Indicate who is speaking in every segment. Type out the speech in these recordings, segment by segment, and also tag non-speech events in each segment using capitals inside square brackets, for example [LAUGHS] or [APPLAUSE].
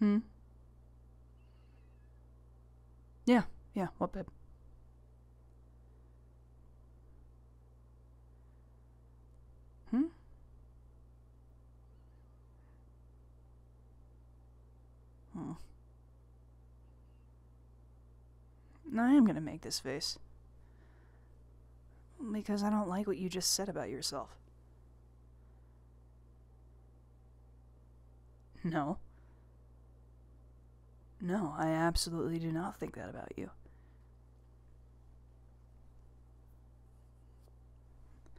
Speaker 1: Hmm. Yeah, yeah, what babe? Hmm? Oh. I am gonna make this face. Because I don't like what you just said about yourself. No. No, I absolutely do not think that about you.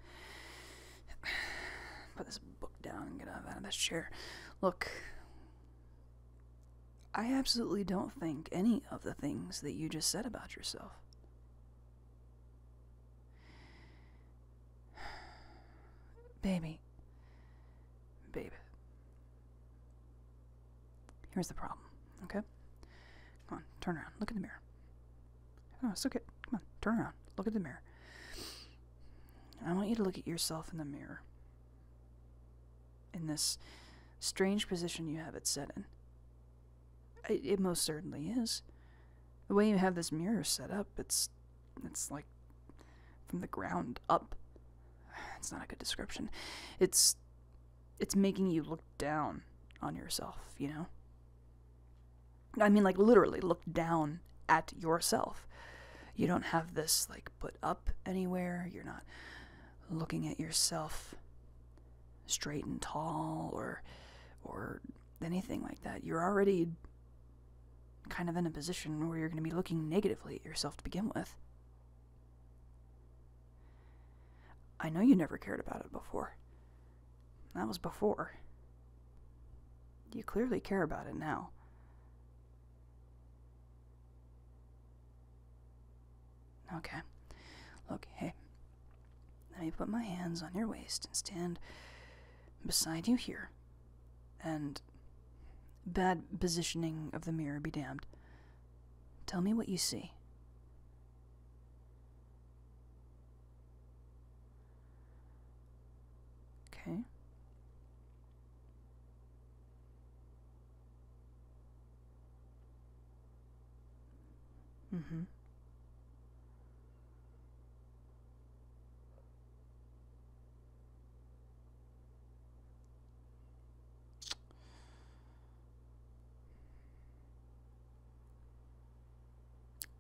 Speaker 1: [SIGHS] Put this book down and get out of this chair. Look, I absolutely don't think any of the things that you just said about yourself. Baby. Baby. Here's the problem, okay? Come on, turn around. Look in the mirror. Oh, it's okay. Come on, turn around. Look at the mirror. I want you to look at yourself in the mirror. In this strange position you have it set in. It most certainly is. The way you have this mirror set up, it's it's like from the ground up. [SIGHS] It's not a good description. It's it's making you look down on yourself, you know? I mean like literally look down at yourself. You don't have this like put up anywhere. You're not looking at yourself straight and tall or or anything like that. You're already kind of in a position where you're going to be looking negatively at yourself to begin with. I know you never cared about it before. That was before. You clearly care about it now. Okay. Look, hey. Let me put my hands on your waist and stand beside you here. And. Bad positioning of the mirror be damned. Tell me what you see. Okay. Mm-hmm.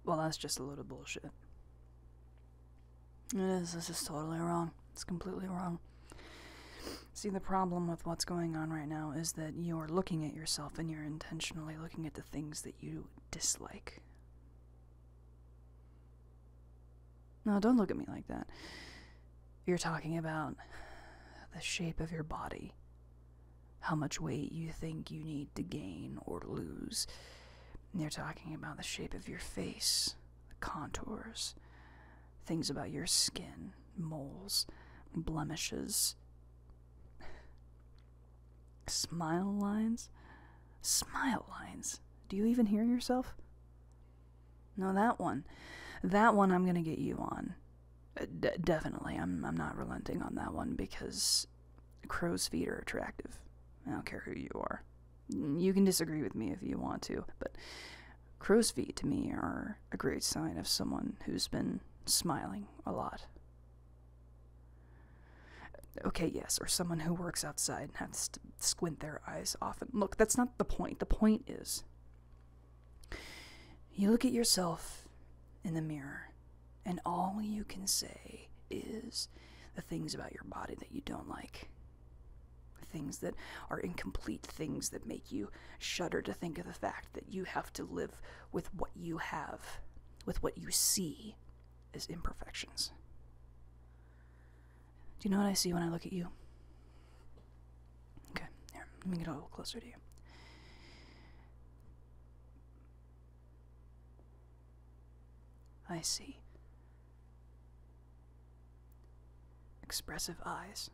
Speaker 1: Well, that's just a load of bullshit. It is. This is totally wrong. It's completely wrong. See, the problem with what's going on right now is that you're looking at yourself and you're intentionally looking at the things that you dislike. Now, don't look at me like that. You're talking about the shape of your body, how much weight you think you need to gain or lose. You're talking about the shape of your face, the contours, Things about your skin, moles, blemishes. Smile lines? Smile lines? Do you even hear yourself? No, that one. That one I'm gonna get you on. Uh, definitely, I'm, I'm not relenting on that one because crow's feet are attractive. I don't care who you are. You can disagree with me if you want to, but Crow's feet to me are a great sign of someone who's been smiling a lot. Okay, yes, or someone who works outside and has to squint their eyes often. Look, that's not the point. The point is you look at yourself in the mirror, and all you can say is the things about your body that you don't like. Things that are incomplete, things that make you shudder to think of the fact that you have to live with what you have, with what you see as imperfections. Do you know what I see when I look at you? Okay, here, let me get a little closer to you. I see Expressive eyes.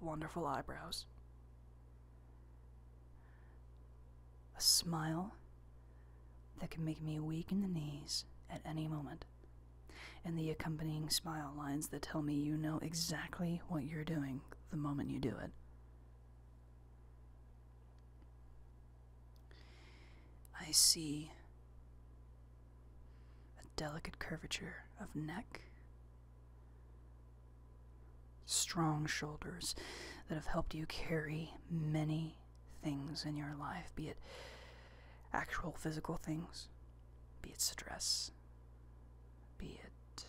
Speaker 1: Wonderful eyebrows. A smile that can make me weak in the knees at any moment, and the accompanying smile lines that tell me you know exactly what you're doing the moment you do it. I see a delicate curvature of neck, strong shoulders that have helped you carry many things in your life, be it actual physical things, be it stress, be it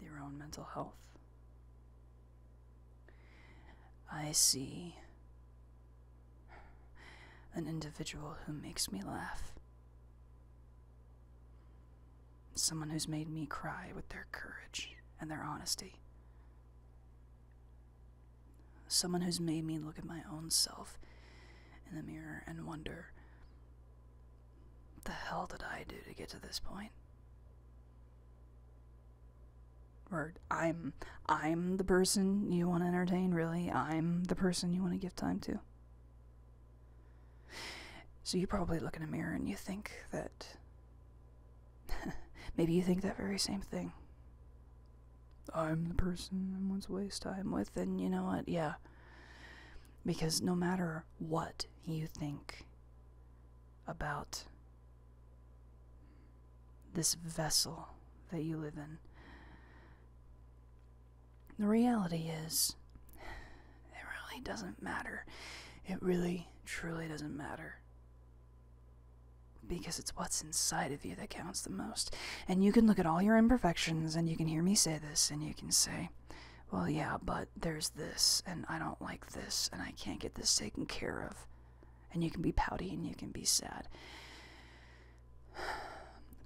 Speaker 1: your own mental health. I see an individual who makes me laugh. Someone who's made me cry with their courage and their honesty. Someone who's made me look at my own self in the mirror and wonder what the hell did I do to get to this point? or I'm I'm the person you want to entertain, really. I'm the person you want to give time to. So you probably look in a mirror and you think that [LAUGHS] maybe you think that very same thing. I'm the person I want to waste time with, and you know what? Yeah. Because no matter what you think about this vessel that you live in. The reality is, it really doesn't matter. It really, truly doesn't matter. Because it's what's inside of you that counts the most. And you can look at all your imperfections, and you can hear me say this, and you can say, well, yeah, but there's this, and I don't like this, and I can't get this taken care of. And you can be pouty and you can be sad. [SIGHS]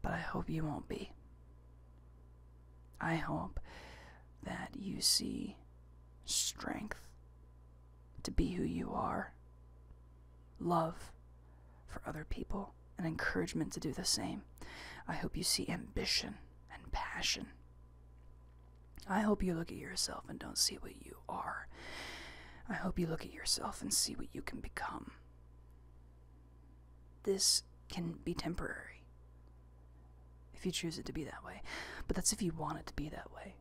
Speaker 1: But I hope you won't be. I hope that you see strength to be who you are, love for other people, and encouragement to do the same. I hope you see ambition and passion. I hope you look at yourself and don't see what you are. I hope you look at yourself and see what you can become. This can be temporary if you choose it to be that way, but that's if you want it to be that way.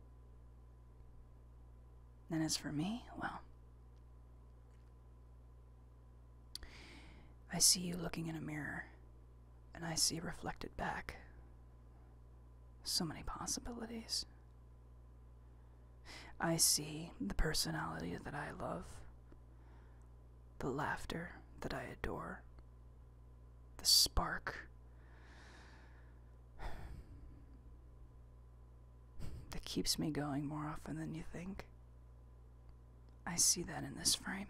Speaker 1: And as for me, well, I see you looking in a mirror, and I see reflected back so many possibilities. I see the personality that I love, the laughter that I adore, the spark, [SIGHS] that keeps me going more often than you think. I see that in this frame.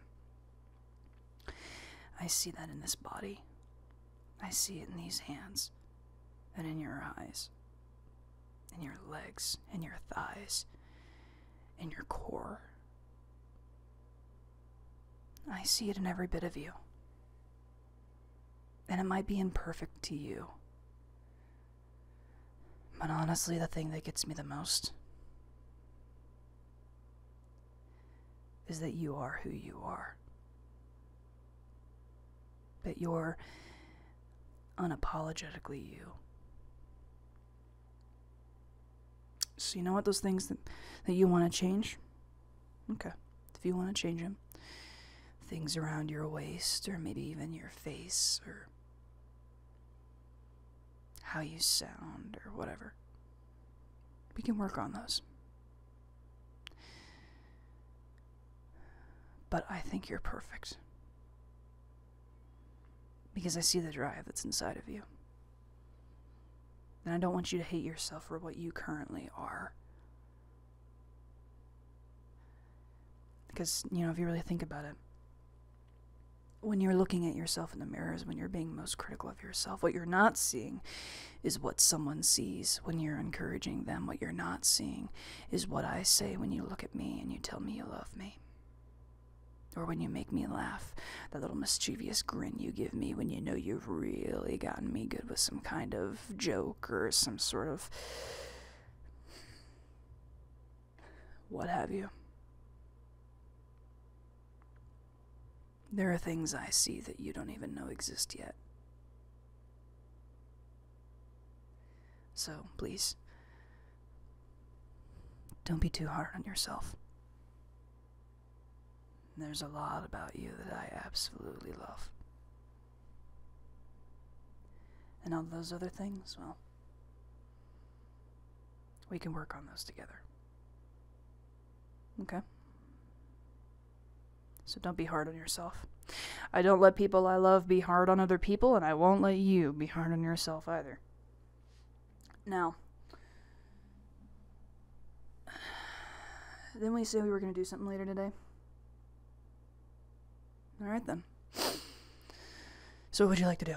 Speaker 1: I see that in this body. I see it in these hands, and in your eyes, in your legs, in your thighs, in your core. I see it in every bit of you. And it might be imperfect to you. But honestly, the thing that gets me the most is that you are who you are. That you're unapologetically you. So, you know what? Those things that, you want to change? Okay. If you want to change them, things around your waist or maybe even your face or how you sound or whatever, we can work on those. But I think you're perfect. Because I see the drive that's inside of you. And I don't want you to hate yourself for what you currently are. Because, you know, if you really think about it, when you're looking at yourself in the mirror is when you're being most critical yourself. What you're not seeing is what someone sees when you're encouraging them. What you're not seeing is what I say when you look at me and you tell me you love me. Or when you make me laugh, that little mischievous grin you give me when you know you've really gotten me good with some kind of joke or some sort of what have you. There are things I see that you don't even know exist yet. So, please, don't be too hard on yourself. There's a lot about you that I absolutely love. And all those other things, well, we can work on those together. Okay. So don't be hard on yourself. I don't let people I love be hard on other people, and I won't let you be hard on yourself either. Now, [SIGHS] then we said we were going to do something later today. All right, then. So, what would you like to do?